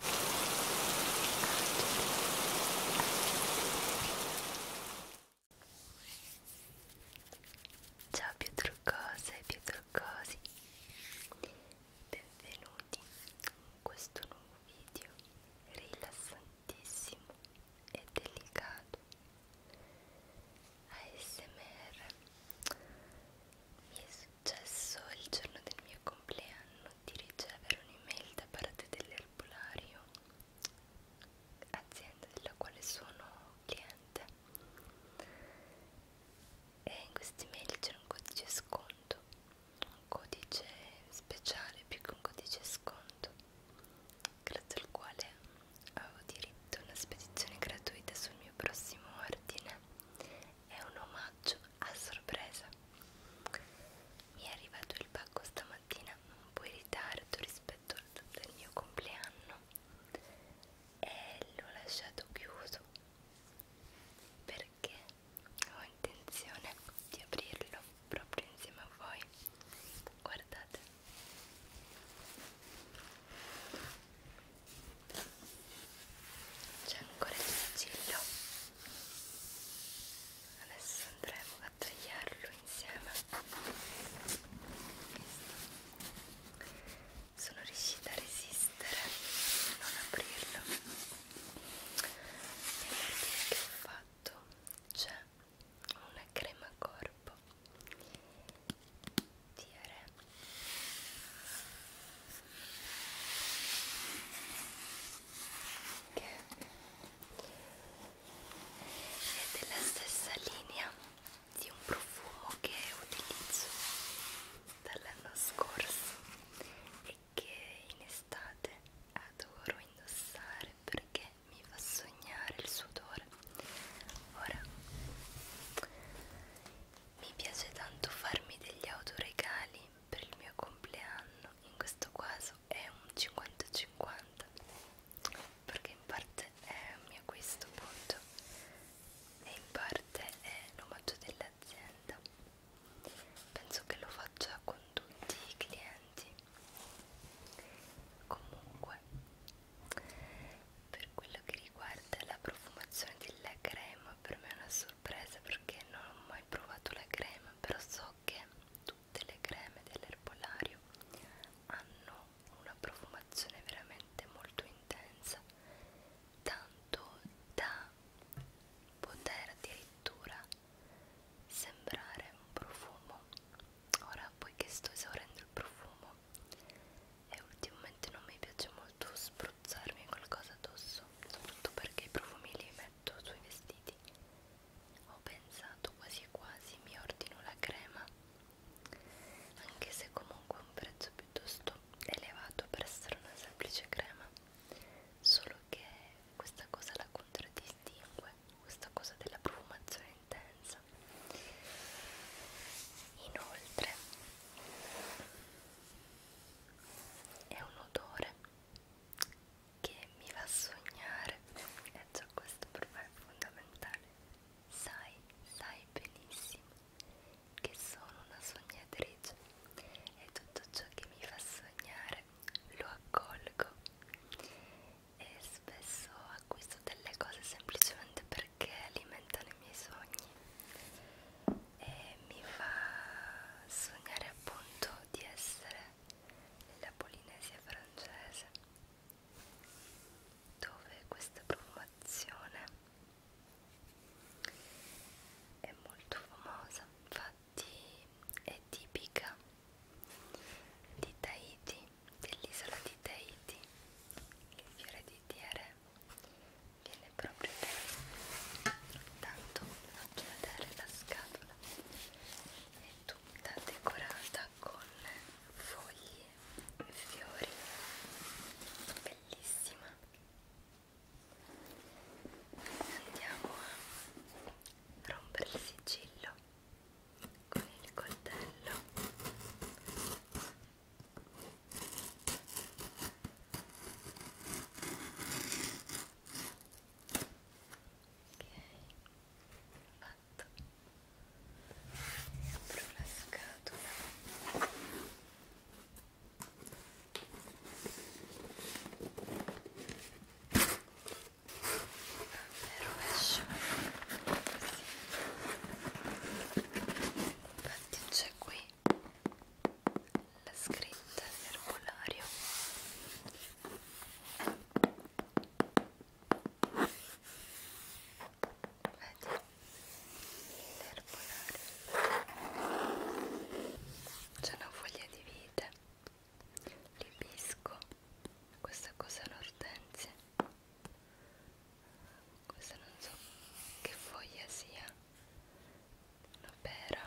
Ciao più truccose, più truccosi, benvenuti in questo nuovo video rilassantissimo e delicato ASMR mi successo il giorno del mio compleanno di ricevere un'email da parte dell'erbolario, azienda della quale sono cliente, e in questa email c'era un codice sconto, un codice speciale più che un codice sconto, grazie al quale avevo diritto a una spedizione gratuita sul mio prossimo ordine. È un omaggio a sorpresa. Mi è arrivato il pacco stamattina un po' in ritardo rispetto al del mio compleanno e l'ho lasciato chiuso perché ho intenzione di aprirlo proprio insieme a voi. Guardate c'è ancora il sigillo adesso andremo a tagliarlo insieme sono riuscita a resistere a non aprirlo nell'articolo che ho fatto c'è una crema corpo di Are che è della stessa linea di un profumo che utilizzo dall'anno scorso e che in estate adoro indossare perché mi fa sognare il suo odore ora mi piace tanto farmi degli autoregali per il mio compleanno in questo caso è un 50-50 perché in parte è un mio acquisto appunto e in parte è l'omaggio dell'azienda penso che lo faccia con tutti i clienti comunque per quello che riguarda la profumazione della crema per me è una sorpresa sorpresa perché non ho mai provato la crema però so che tutte le creme dell'erbolario hanno una profumazione veramente molto intensa tanto da poter addirittura sembrare un profumo ora poiché sto esaurendo il profumo e ultimamente non mi piace molto spruzzare spruzzarmi qualcosa addosso, soprattutto perché i profumi li metto sui vestiti. Ho pensato quasi quasi mi ordino la crema, anche se comunque è un prezzo piuttosto elevato per essere una semplice crema, solo che questa cosa la contraddistingue, questa cosa della profumazione intensa. Inoltre è un odore che mi fa sognare e già questo per me è fondamentale sai, sai benissimo che sono una sognatrice e tutto ciò che mi fa sognare lo accolgo e spesso acquisto delle cose semplicemente perché alimentano i miei sogni e mi fa sognare appunto di essere nella Polinesia francese dove questa profumazione è molto famosa infatti è tipica di Tahiti dell'isola di Tahiti il fiore di Tiere viene proprio bene tanto non chiudere la scatola è tutta decorata con foglie e fiori bellissima andiamo a rompere il sigillo con il coltello fatto e apro la scatola e rovescio così infatti c'è qui la scritta dell'erbolario vedi l'erbolario c'è una foglia di vite l'ibisco questa cosa l'ortensia questa non so che foglia sia una pera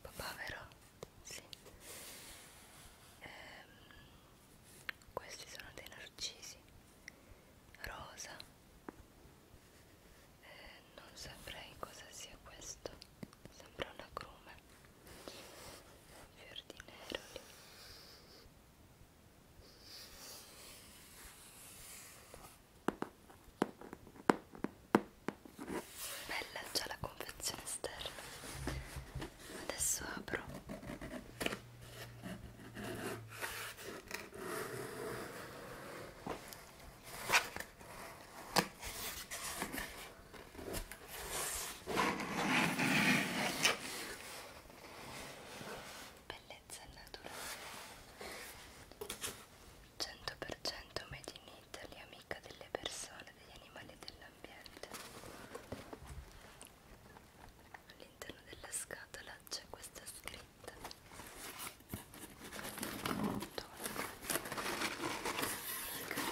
papavero sì ehm, questi sono dei narcisi rosa eh, non saprei cosa sia questo sembra una grume un fior di nero lì bella già la confezione esterna adesso apro bellezza naturale 100% made in Italy amica delle persone, degli animali e dell'ambiente all'interno della scatola c'è questa scritta il cartone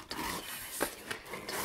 di rivestimento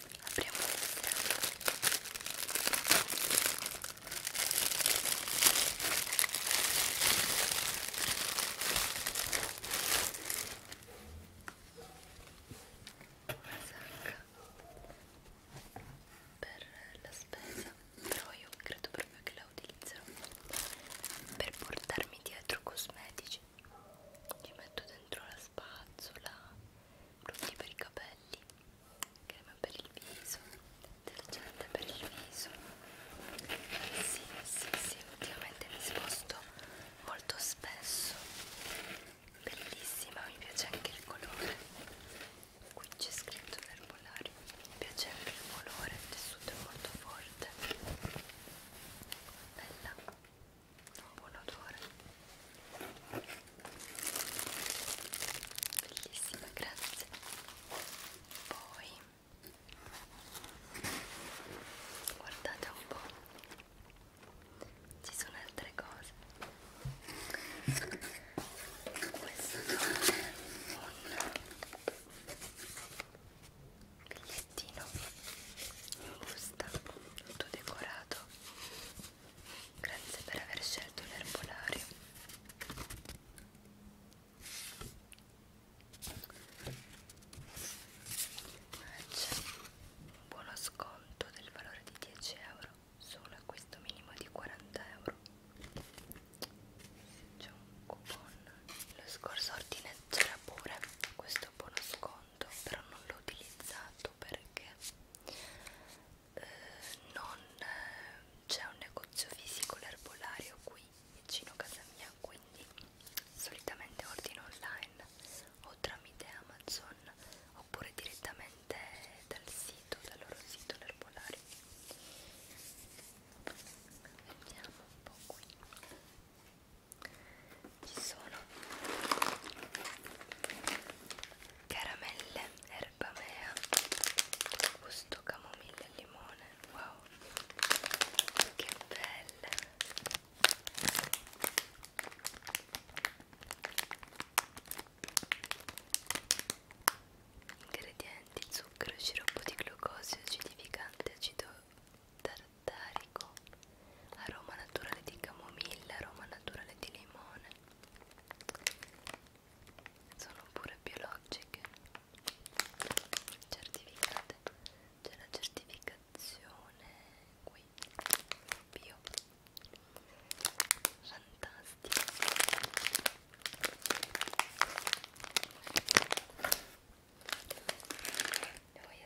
apriamo l'interno una sacca per la spesa però io credo proprio che la utilizzerò per portarmi dietro cosmetici ci metto dentro la spazzola profumo per i capelli, crema per il viso, detergente per il viso. Sì, sì, sì, ultimamente mi sposto molto spesso. Bellissima, mi piace anche il colore. Qui c'è scritto l'erbolario, mi piace anche il colore, il tessuto è molto forte. Bella un buon odore bellissima grazie poi guardate un po' ci sono altre cose questo è un bigliettino in busta tutto decorato Grazie per aver scelto l'erbolario. Un buono sconto del valore di 10 euro solo acquisto minimo di 40 euro. C'è un coupon. Lo scorso ordine c'era pure questo buono sconto tanto però non l'ho utilizzato perché eh, non eh, c'è un negozio fisico l'erbolario qui vicino a casa mia quindi solitamente ordino online o tramite Amazon oppure direttamente dal sito, dal loro sito l'erbolario vediamo un po' qui ci sono caramelle erbamea gusto camomilla e limone wow che belle ingredienti zucchero sciroppo di glucosio acidificante acido tartarico aroma naturale di camomilla, aroma naturale di limone sono pure biologiche certificate c'è la certificazione qui bio fantastico le voglio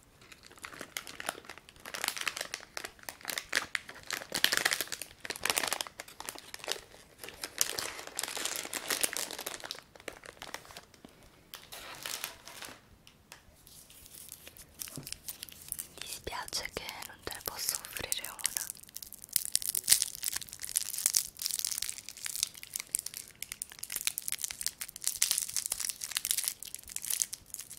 Mi dispiace che non te ne posso offrire una.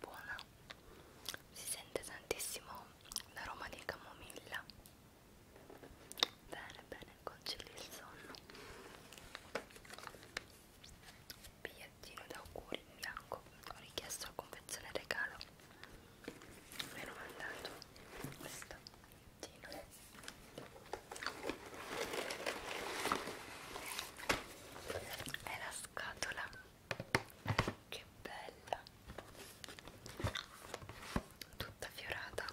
buona si sente tantissimo l'aroma di camomilla bene bene concili il sonno bigliettino d'auguri in bianco ho richiesto la confezione regalo mi hanno mandato questo bigliettino è la scatola che bella tutta fiorata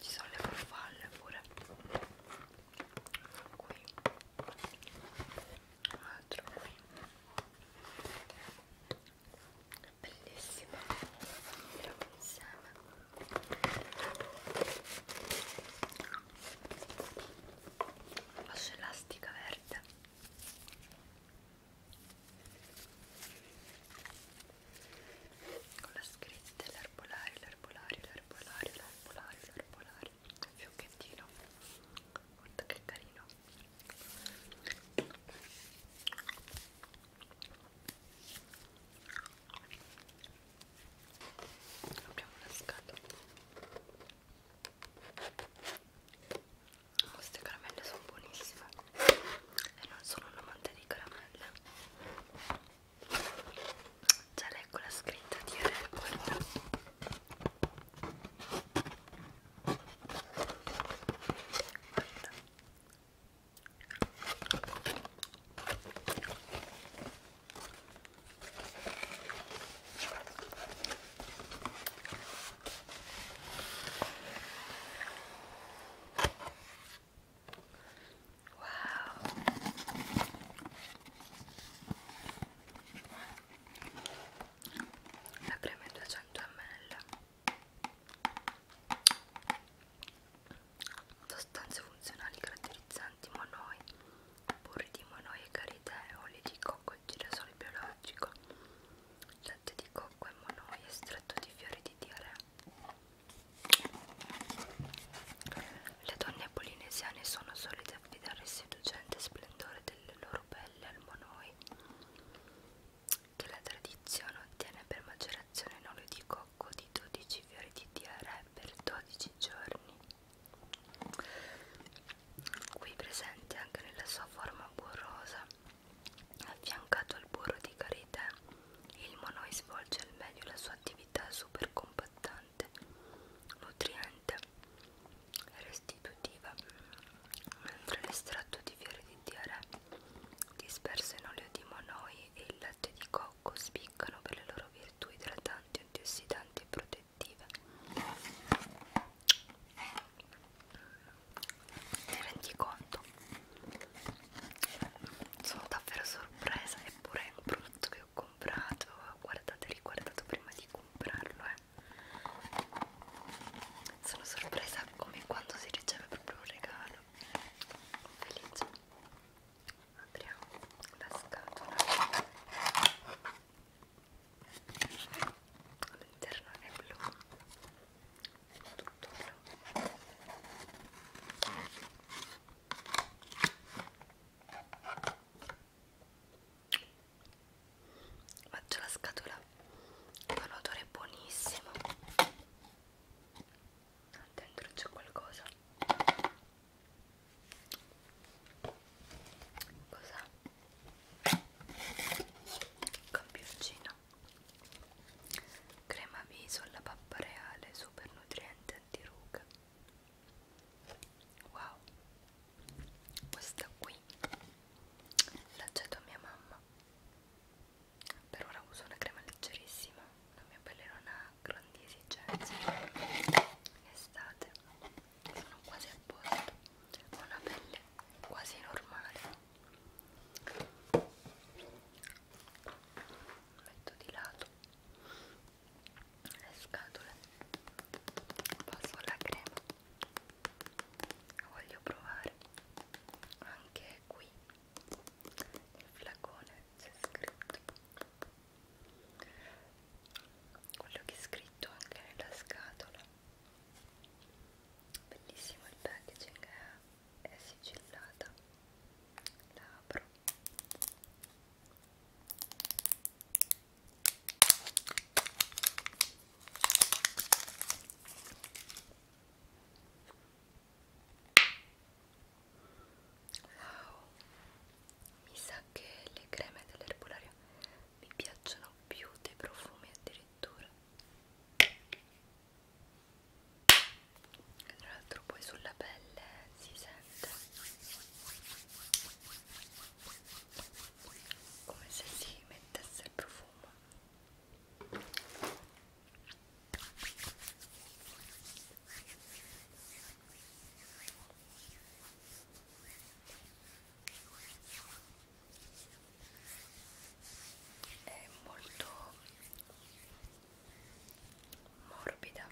ci sono le farfalle pure qui un altro qui bellissima insieme fascia elastica verde con la scritta l'erbolario, l'erbolario, l'erbolario, l'erbolario, l'erbolario il fiocchettino guarda che carino apriamo la scatola queste caramelle sono buonissime e non sono un amante di caramelle. Già leggo la scritta di Record. Guarda. La crema è 200 ml. Sostanze funzionali gratis polifonizzanti monoi, burri di monoi e caritè, olio di cocco e girasole biologico, latte di cocco e monoi, estratto di fiori di diarrea. Le donne polinesiane sono solite affidare il seducente splendore delle loro pelle al monoi, che la tradizione ottiene per macerazione in olio di cocco di 12 fiori di diarrea per 12 giorni qui presente anche nella sua forma burrosa affiancato al burro di karité il monoi svolge al meglio la sua attività super compattante nutriente e restitutiva mentre l'estratto di fiori di tiare disperso in olio di monoi e il latte di cocco spiccano per le loro virtù idratanti antiossidanti e protettive effettive ti rendi conto? sono davvero sorpresa eppure è un prodotto che ho comprato guardate riguardato prima di comprarlo eh. sono sorpresa come quando si riceve proprio un regalo felice apriamo la scatola all'interno è blu tutto blu faccio la scatola ha un odore buonissimo dentro c'è qualcosa Cos'ha? Campiorcino Crema viso alla pappa reale Super nutriente antiruga Wow Questa qui L'accetto a mia mamma per ora uso una crema leggerissima, non mi appellerò a grandi esigenze in estate sono quasi a posto ho una pelle quasi normale metto di lato le scatole passo alla crema voglio provare anche qui il flacone c'è scritto quello che è scritto anche nella scatola bellissimo il packaging è, è sigillata la apro Wow, mi sa che le creme dell'erbolario mi piacciono più dei profumi addirittura. Tra l'altro poi sulla pelle si sente come se si mettesse il profumo è molto morbida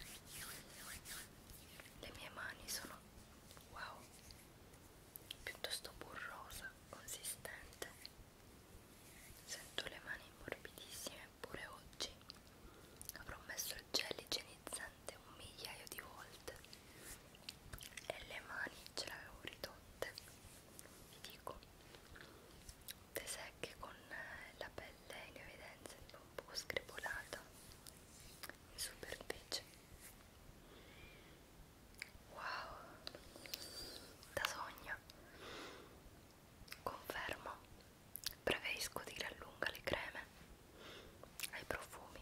le mie mani sono wow piuttosto burrosa consistente sento le mani morbidissime pure oggi avrò messo il gel igienizzante un migliaio di volte e le mani ce le avevo ridotte vi dico te secche con eh, la pelle in evidenza un po' scribolata in superficie wow da sogno confermo Preferisco di gran lunga le creme ai profumi.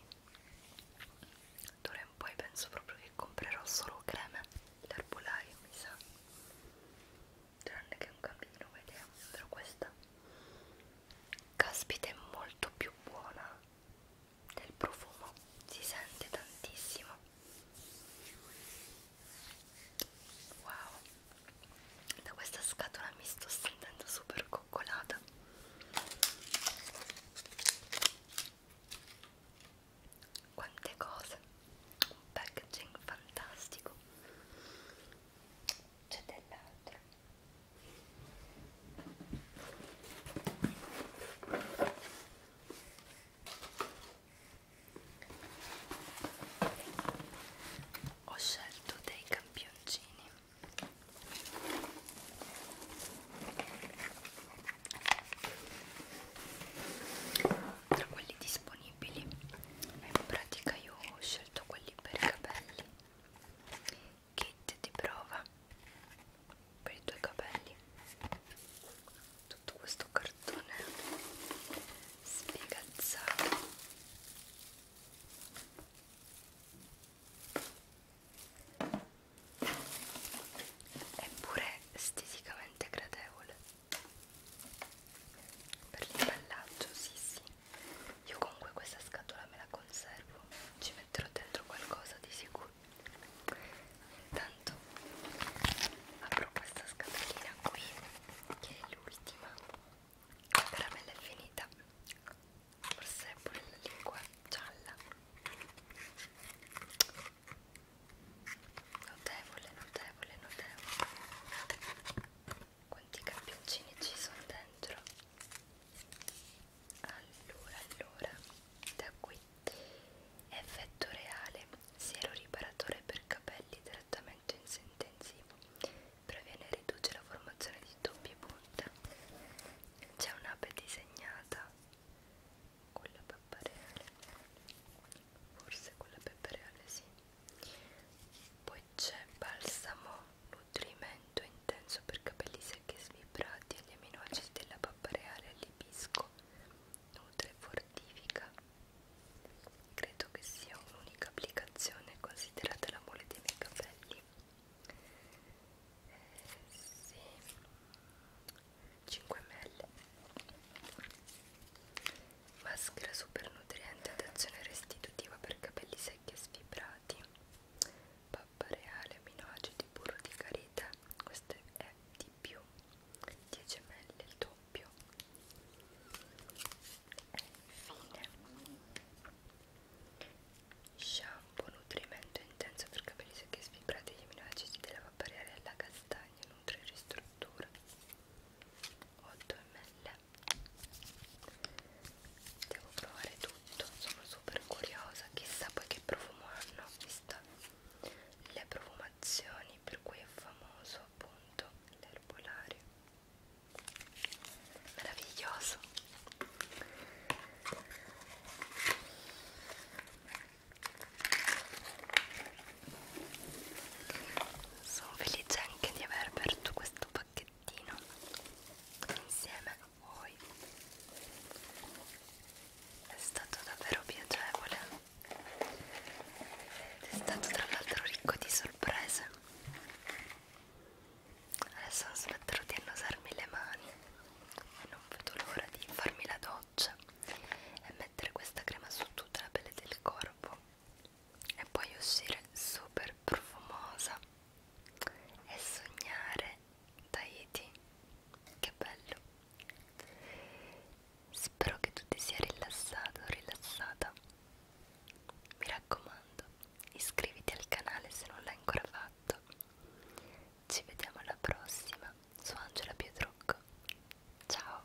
D'ora in poi penso proprio che comprerò solo creme d'erbolario, mi sa. Tranne che un cammino, vediamo. Però questa, caspita, è molto più buona del profumo. Si sente tantissimo. Wow, da questa scatola mi sto sentendo super coccolata quante cose un packaging fantastico c'è dell'altro ho scelto dei campioncini tra quelli disponibili in pratica io ho scelto quelli per i capelli kit di prova per i tuoi capelli tutto questo cartone sfigazzato è pure esteticamente gradevole per l'imballaggio, sì sì io comunque questa scatola me la conservo ci metterò dentro qualcosa di sicuro intanto apro questa scatolina qui che è l'ultima la caramella è finita forse è pure la lingua gialla notevole notevole notevole quanti campioncini ci sono dentro allora allora da qui effetto reale siero riparatore per capelli idratati trattamento in intensivo previene e riduce la formazione di doppie punte c'è un'ape disegnata con la peppa reale forse con la peppa reale sì poi c'è balsamo nutrimento intenso per capelli secchi e svibrati e gli aminoacidi della peppa reale all'ibisco nutre e fortifica credo che sia un'unica applicazione considerata la mole dei miei capelli eh, sì. 5 ml maschera super nutriente ad azione restitutiva per capelli secchi e sfibrati pappa reale aminoacidi burro di carita questo è di più 10 ml il tuo doppio fine shampoo nutrimento intenso per capelli secchi e sfibrati elimina l'acidi della papparella alla castagna nutri e ristruttura 8 ml devo provare tutto sono super curiosa chissà poi che profumo hanno vista le profumazioni per cui è famoso appunto l'erbolario meraviglioso sono felice anche di aver aperto questo pacchettino insieme a voi è stato davvero piacevole ed è stato tra l'altro ricco di sorprese Adesso smetterò di annusarmi le mani e non vedo l'ora di farmi la doccia e mettere questa crema su tutta la pelle del corpo e poi uscire super profumosa e sognare Tahiti. Che bello! Spero che tu ti sia rilassato, rilassata mi raccomando, iscriviti al canale se non l'hai ancora fatto. Ci vediamo alla prossima su Angela Pietrucco. Ciao!